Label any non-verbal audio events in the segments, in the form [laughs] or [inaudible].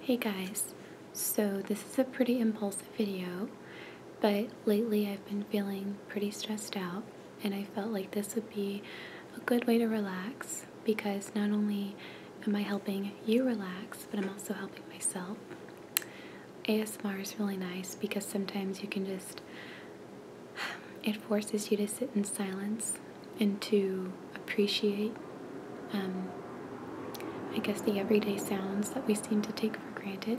Hey guys, so this is a pretty impulsive video, but lately I've been feeling pretty stressed out and I felt like this would be a good way to relax because not only am I helping you relax, but I'm also helping myself. ASMR is really nice because sometimes you can just, [sighs] it forces you to sit in silence and to appreciate, um, I guess, the everyday sounds that we seem to take for granted.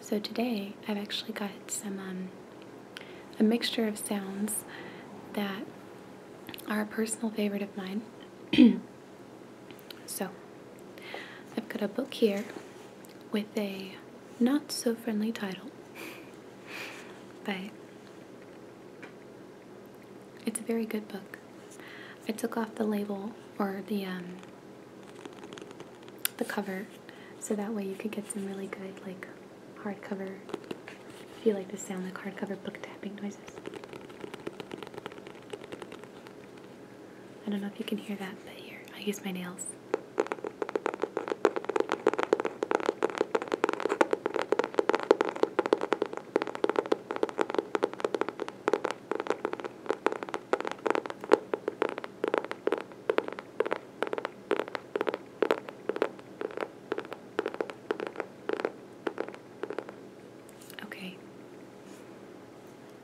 So today I've actually got some um, a mixture of sounds that are a personal favorite of mine. [clears throat] so I've got a book here with a not so friendly title, Bye. It's a very good book. I took off the label or the um, the cover, so that way you could get some really good like hardcover. If you like the sound the hardcover book tapping noises. I don't know if you can hear that, but here I use my nails. Okay.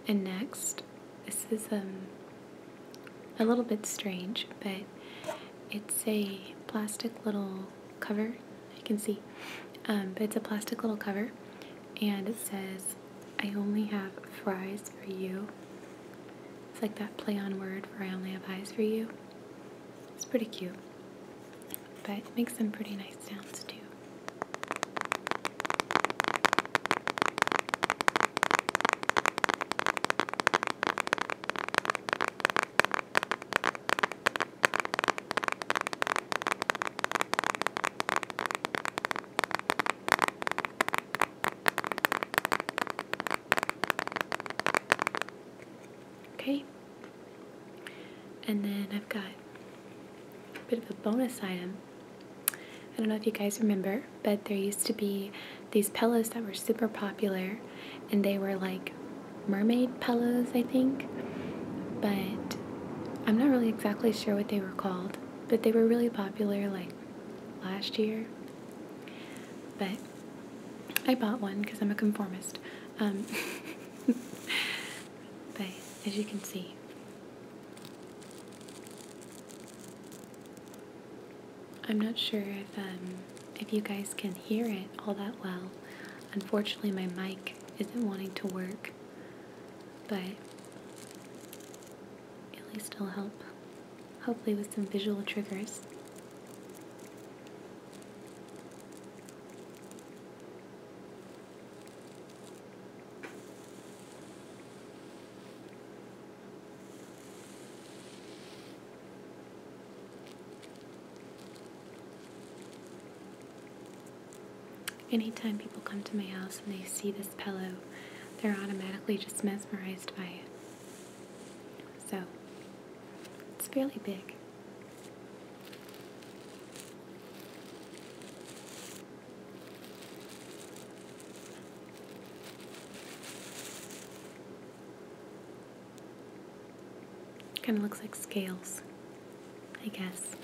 And next, this is um a little bit strange, but it's a plastic little cover. You can see. Um, but it's a plastic little cover. And it says, I only have fries for you. It's like that play on word for I only have eyes for you. It's pretty cute. But it makes some pretty nice sounds too. Okay, and then I've got a bit of a bonus item. I don't know if you guys remember, but there used to be these pillows that were super popular and they were like mermaid pillows, I think. But I'm not really exactly sure what they were called, but they were really popular like last year. But I bought one because I'm a conformist. Um, [laughs] but as you can see, I'm not sure if um, if you guys can hear it all that well. Unfortunately, my mic isn't wanting to work, but at least i will help, hopefully, with some visual triggers. Anytime people come to my house and they see this pillow, they're automatically just mesmerized by it. So, it's fairly big. Kind of looks like scales, I guess.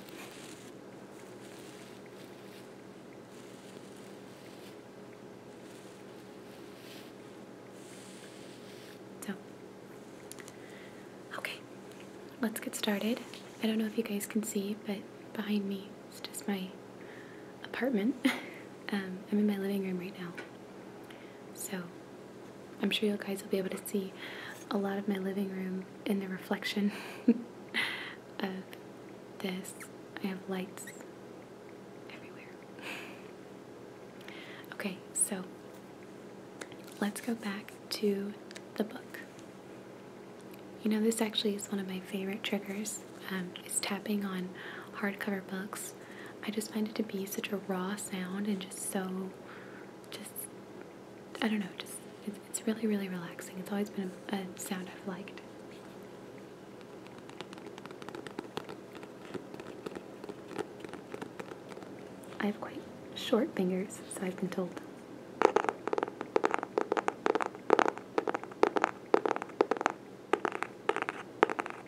So, okay, let's get started. I don't know if you guys can see, but behind me is just my apartment. [laughs] Um, I'm in my living room right now. So I'm sure you guys will be able to see a lot of my living room in the reflection [laughs] of this. I have lights everywhere. [laughs] Okay, so let's go back to the book. You know, this actually is one of my favorite triggers. Um, is tapping on hardcover books I just find it to be such a raw sound and just so, just, I don't know, just, it's, really, really relaxing. It's always been a sound I've liked. I have quite short fingers, so I've been told.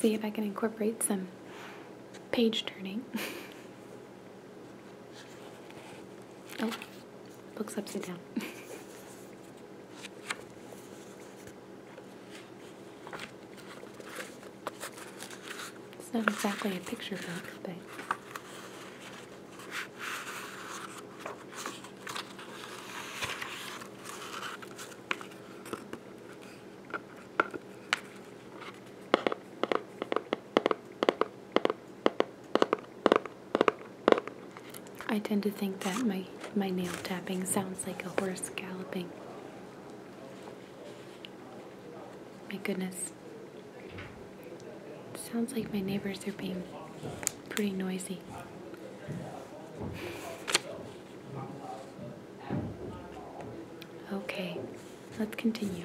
See if I can incorporate some page turning. [laughs] oh, book's upside down. [laughs] it's not exactly a picture book, but I tend to think that my, my nail tapping sounds like a horse galloping. My goodness. Sounds like my neighbors are being pretty noisy. Okay, let's continue.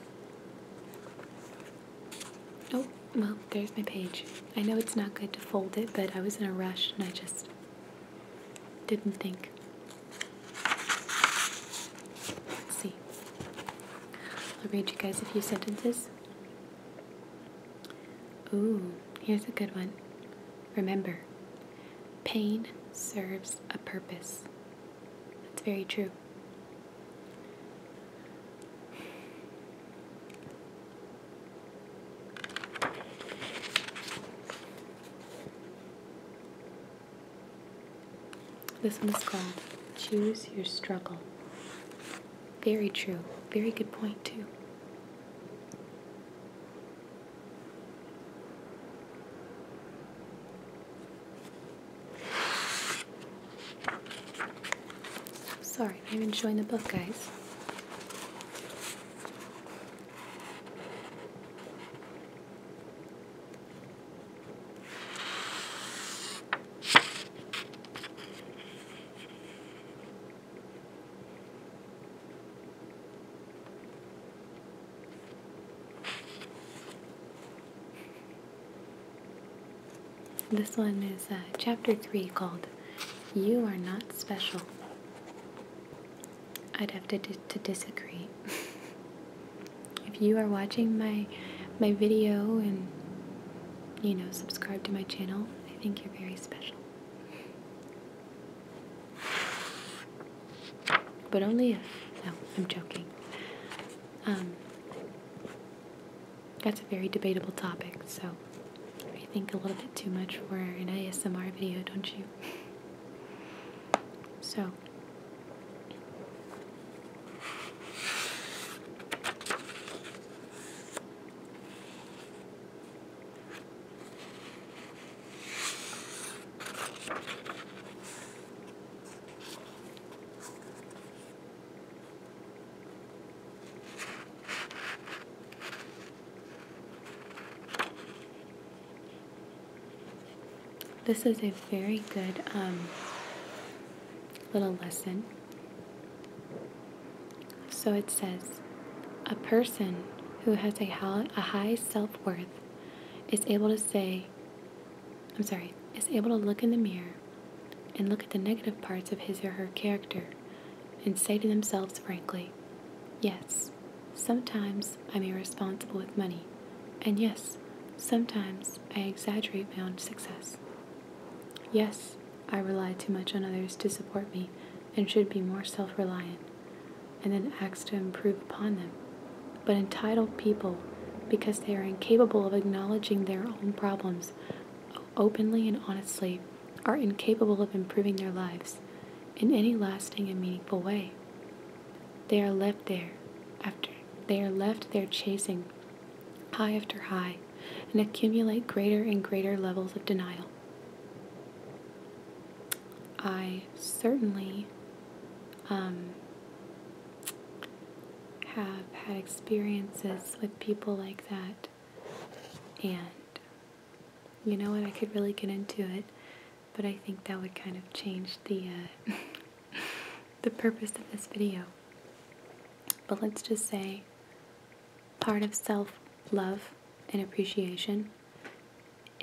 Oh, well, there's my page. I know it's not good to fold it, but I was in a rush and I just didn't think. Let's see. I'll read you guys a few sentences. Ooh, here's a good one. Remember, pain serves a purpose. That's very true. This one is called Choose Your Struggle. Very true. Very good point, too sorry, I'm enjoying the book, guys. This one is uh, chapter 3 called You Are Not Special. I'd have to, to disagree. [laughs] if you are watching my, my video and, you know, subscribe to my channel, I think you're very special. But only if. No, I'm joking. Um, that's a very debatable topic, so you think a little bit too much for an ASMR video, don't you? So. This is a very good um, little lesson. So it says a person who has a high self worth is able to say, I'm sorry, is able to look in the mirror and look at the negative parts of his or her character and say to themselves frankly, Yes, sometimes I'm irresponsible with money, and yes, sometimes I exaggerate my own success. Yes, I rely too much on others to support me and should be more self reliant and then acts to improve upon them, but entitled people, because they are incapable of acknowledging their own problems openly and honestly, are incapable of improving their lives in any lasting and meaningful way. They are left there after they are left there chasing high after high and accumulate greater and greater levels of denial. I certainly um, have had experiences with people like that. And you know what? I could really get into it, but I think that would kind of change the uh, [laughs] the purpose of this video. But let's just say part of self love and appreciation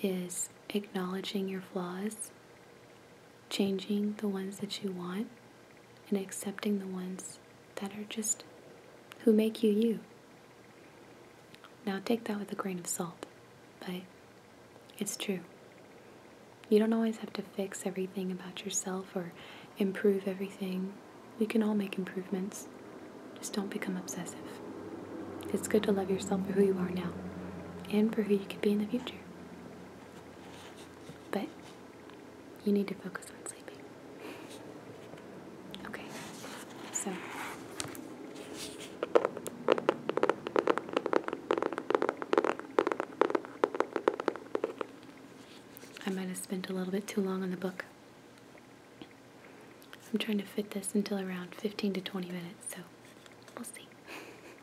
is acknowledging your flaws, changing the ones that you want, and accepting the ones that are just who make you you. Now, take that with a grain of salt, but it's true. You don't always have to fix everything about yourself or improve everything. We can all make improvements. Just don't become obsessive. It's good to love yourself for who you are now and for who you could be in the future. But you need to focus on sleeping. Okay, so. I might have spent a little bit too long on the book. I'm trying to fit this until around 15 to 20 minutes, so we'll see. [laughs]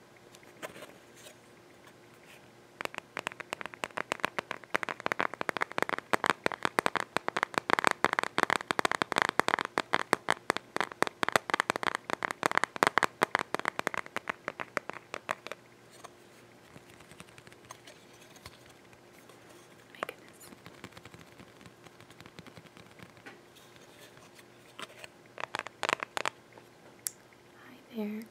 My goodness. Hi there.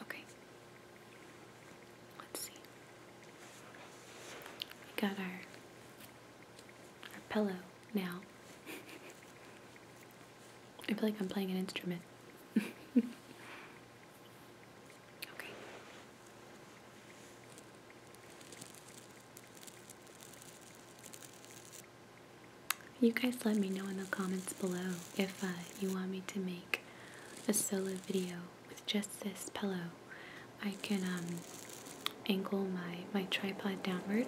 okay. Let's see. We got our our pillow now. I feel like I'm playing an instrument. [laughs] okay. You guys let me know in the comments below if uh, you want me to make a solo video with just this pillow. I can um, angle my, my tripod downward.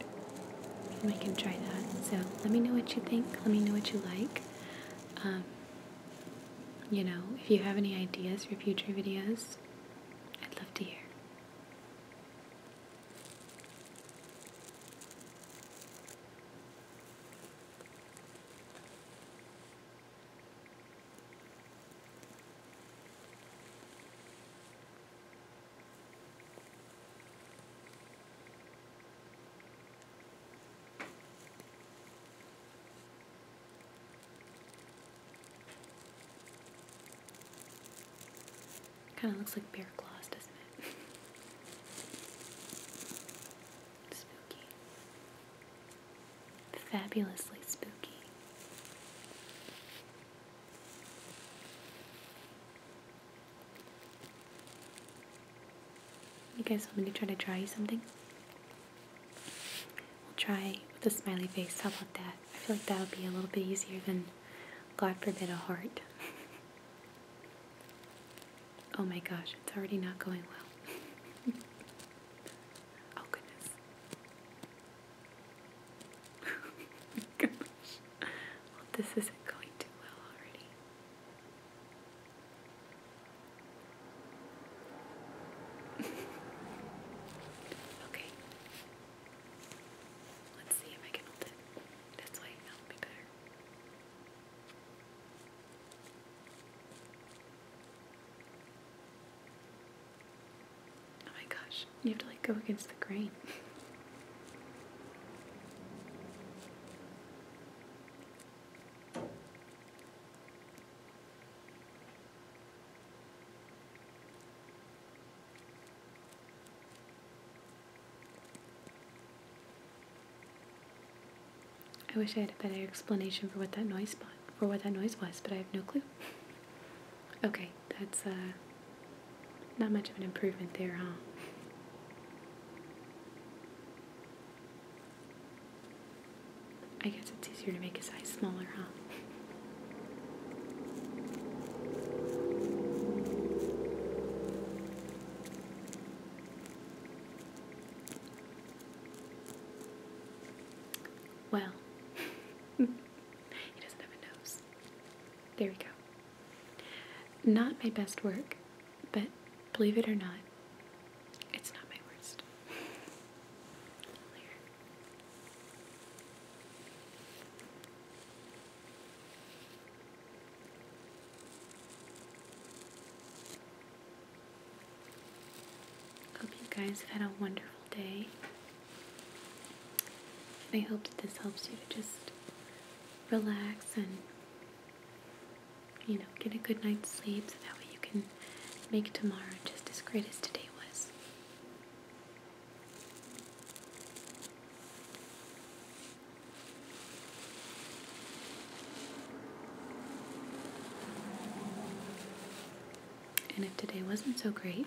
And I can try that. So let me know what you think. Let me know what you like. Um, you know, if you have any ideas for future videos, I'd love to hear. Kind of looks like bear claws, doesn't it? [laughs] spooky. Fabulously spooky. You guys let me try to draw you something? We'll try with a smiley face. How about that? I feel like that would be a little bit easier than, God forbid, a heart. [laughs] oh my gosh, it's already not going well. [laughs] oh goodness. [laughs] this isn't going too well already. [laughs] okay. Let's see if I can hold it. That's why that'll be better. Oh my gosh, you have to like go against the grain. I wish I had a better explanation for what that noise for what that noise was, but I have no clue. [laughs] Okay, that's uh, not much of an improvement there, huh? I guess it's easier to make a size smaller, huh? Well, [laughs] he doesn't have a nose. There we go. Not my best work, but believe it or not, it's not my worst. Hope you guys had a wonderful day. I hope that this helps you to just relax and, you know, get a good night's sleep so that way you can make tomorrow just as great as today was. And if today wasn't so great,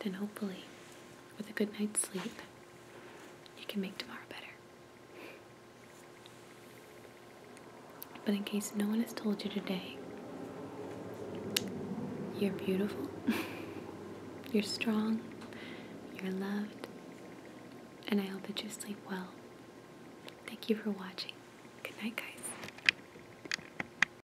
then hopefully, with a good night's sleep, you can make tomorrow better. But in case no one has told you today, you're beautiful, [laughs] you're strong, you're loved, and I hope that you sleep well. Thank you for watching. Good night, guys.